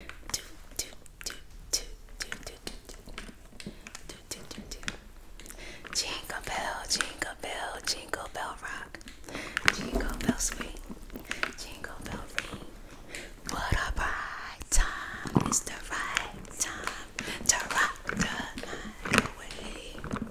Jingle bell, jingle bell, jingle bell rock. Jingle bell swing, jingle bell ring. What a bright time, it's the right time to rock the night away.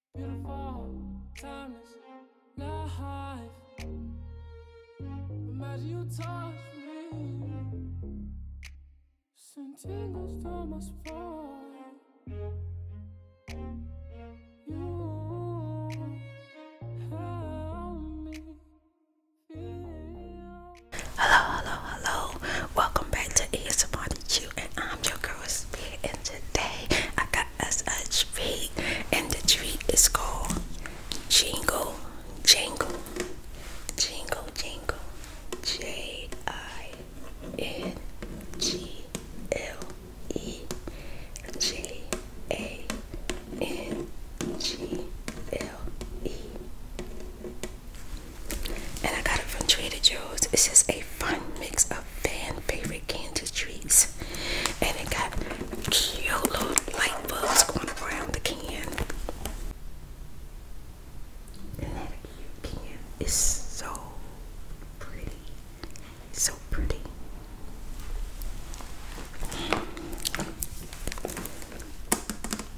Beautiful, timeless life. Imagine you touch You help me Hello, hello, hello. Welcome back to ESMR and I'm your girl Speed, and today I got got us a treat, and the treat is called Jingle Jangle. Jingle Jingle. J I N G L E J A N G L E. And I got it from Trader Joe's. It's just a fun mix of fan favorites candy treats. And it got cute light bulbs going around the can. And that can is so pretty. So pretty.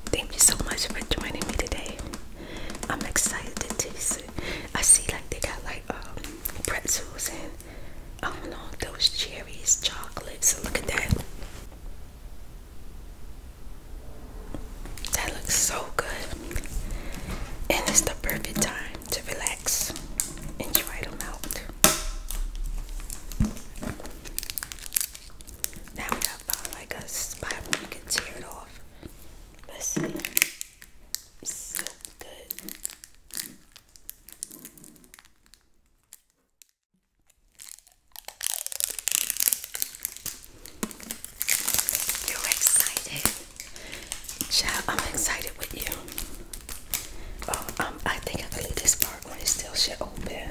Thank you so much for joining me today. I'm excited to taste it. I see like they got like um pretzels and I don't know those cherries, chocolate. So Look at that. That looks so good. And it's the perfect time to relax and try them out. Now we got like a spot you can tear it off. let so good. you excited. Child, I'm excited with you. um, I think I can leave this part when it still shit open.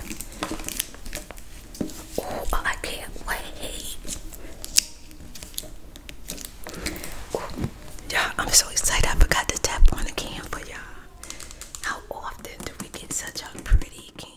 Oh, I can't wait. Y'all, I'm so excited. I forgot to tap on the can for y'all. How often do we get such a pretty can?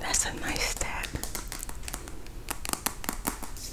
That's a nice step.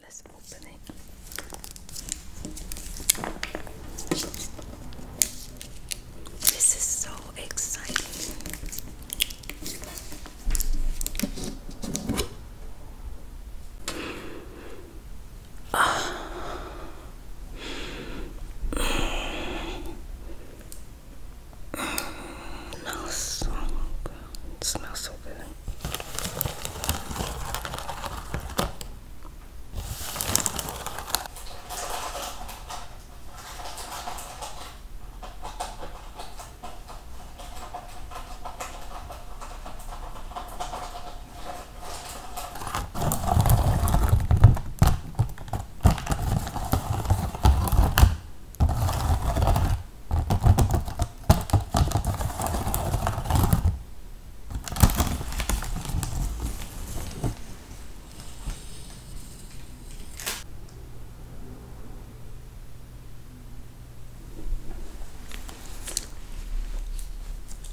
Let's open it. This is so exciting. Oh. so good smells so good.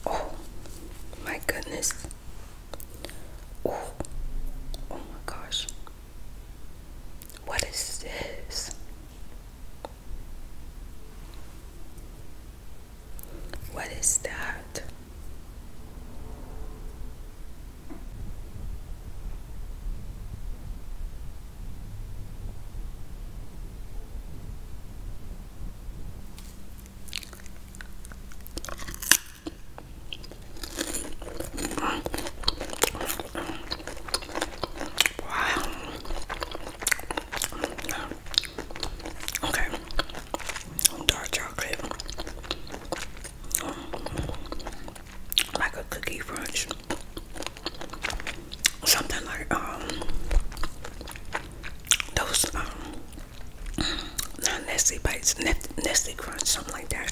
Oh, my goodness. Oh, oh my gosh. What is this? What is that? Wow. Okay. Dark chocolate. Um, like a cookie crunch. Something like um those um Nestle bites, Nestle crunch, something like that.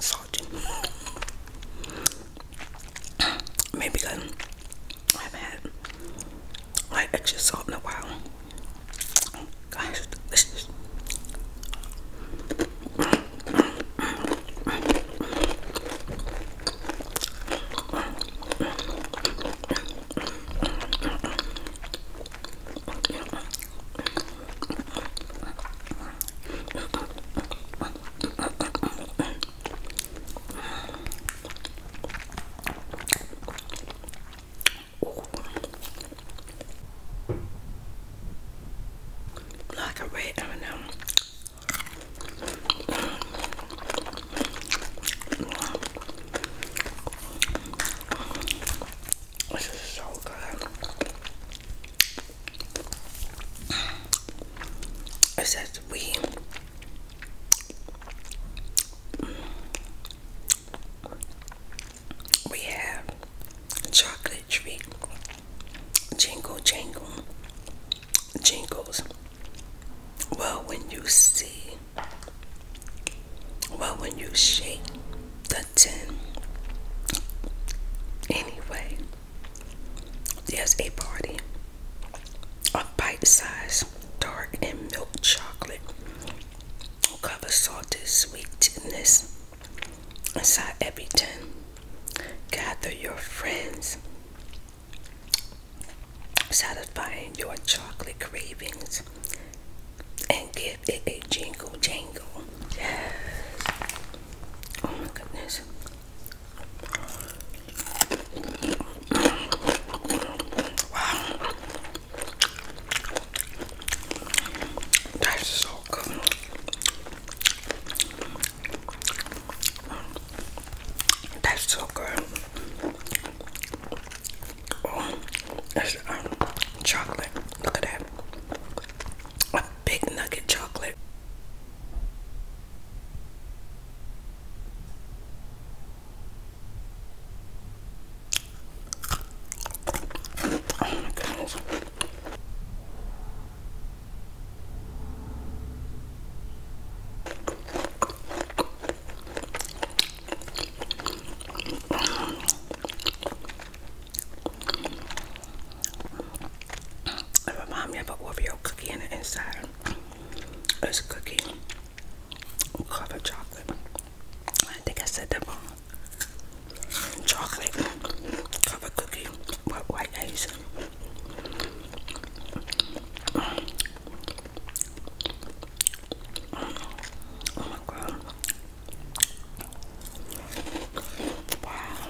Salty. Maybe because I haven't had like extra salt in a while. Gosh, this like a red, I don't this is so good. It says we. We have chocolate tree jingle jingle jingles well when you see well when you shake the tin anyway there's a party a bite-sized dark and milk chocolate cover salted sweetness inside every tin, Gather your friends, satisfying your chocolate cravings, and give it a jingle jangle. Yes. Oh my goodness. Wow. That's so good. That's so good. Oh, that's um, chocolate. Look at that. big nugget chocolate. Oh it reminds me of an Oreo inside. It's a cookie covered chocolate. I think I said that wrong chocolate covered cookie with white icing. Oh my god. Wow.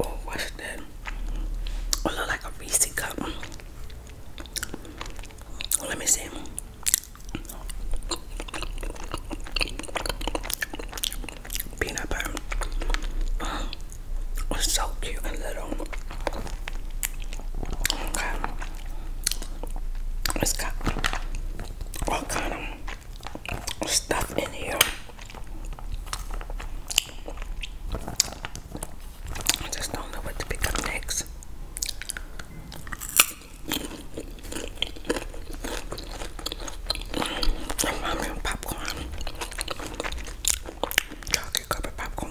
Oh, what's that? Oh, look like a Reese cup. Let me see. Peanut butter. Oh, so cute and little. Okay. It's got all kind of stuff in here. I just don't know what to pick up next. Ramen popcorn, chocolate covered popcorn.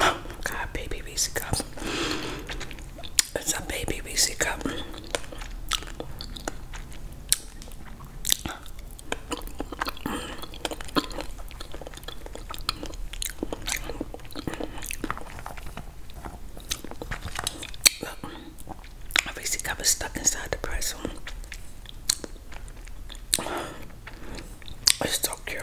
Oh, god, baby Reese cup. It's a baby Reese cup. I my Reese cup stuck inside the pretzel. It's so cute.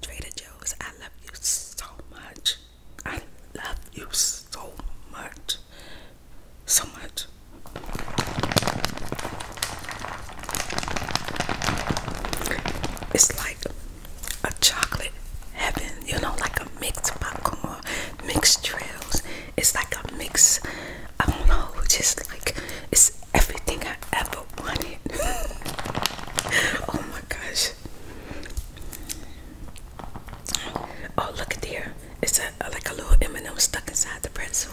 Trader Joe's, I love you so much. I love you so much. So much. It's like a chocolate heaven, you know, like a mixed popcorn, mixed trails. It's like a mix. I don't know, just like it's everything I ever oh my gosh. Oh, look at there. It's a, like a little M&M stuck inside the pretzel.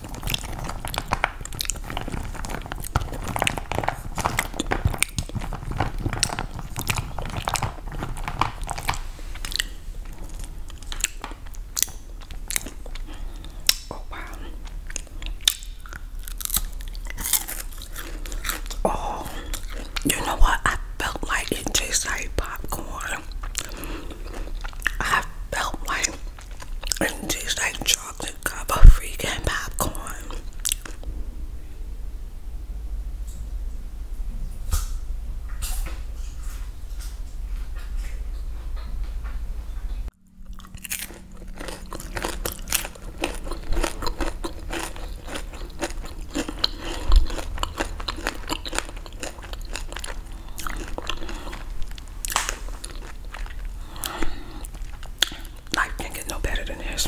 Oh wow. Oh, you know what? I felt like it tastes popcorn. I felt like it tastes like chocolate cover freaking popcorn. I can't get no better than this.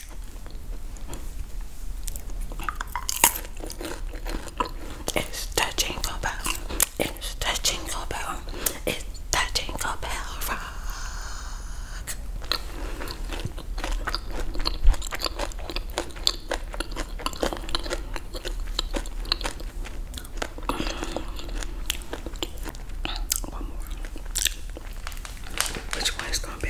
It's the jingle bell. It's the jingle bell. It's the jingle bell rock. One more which one is gonna be.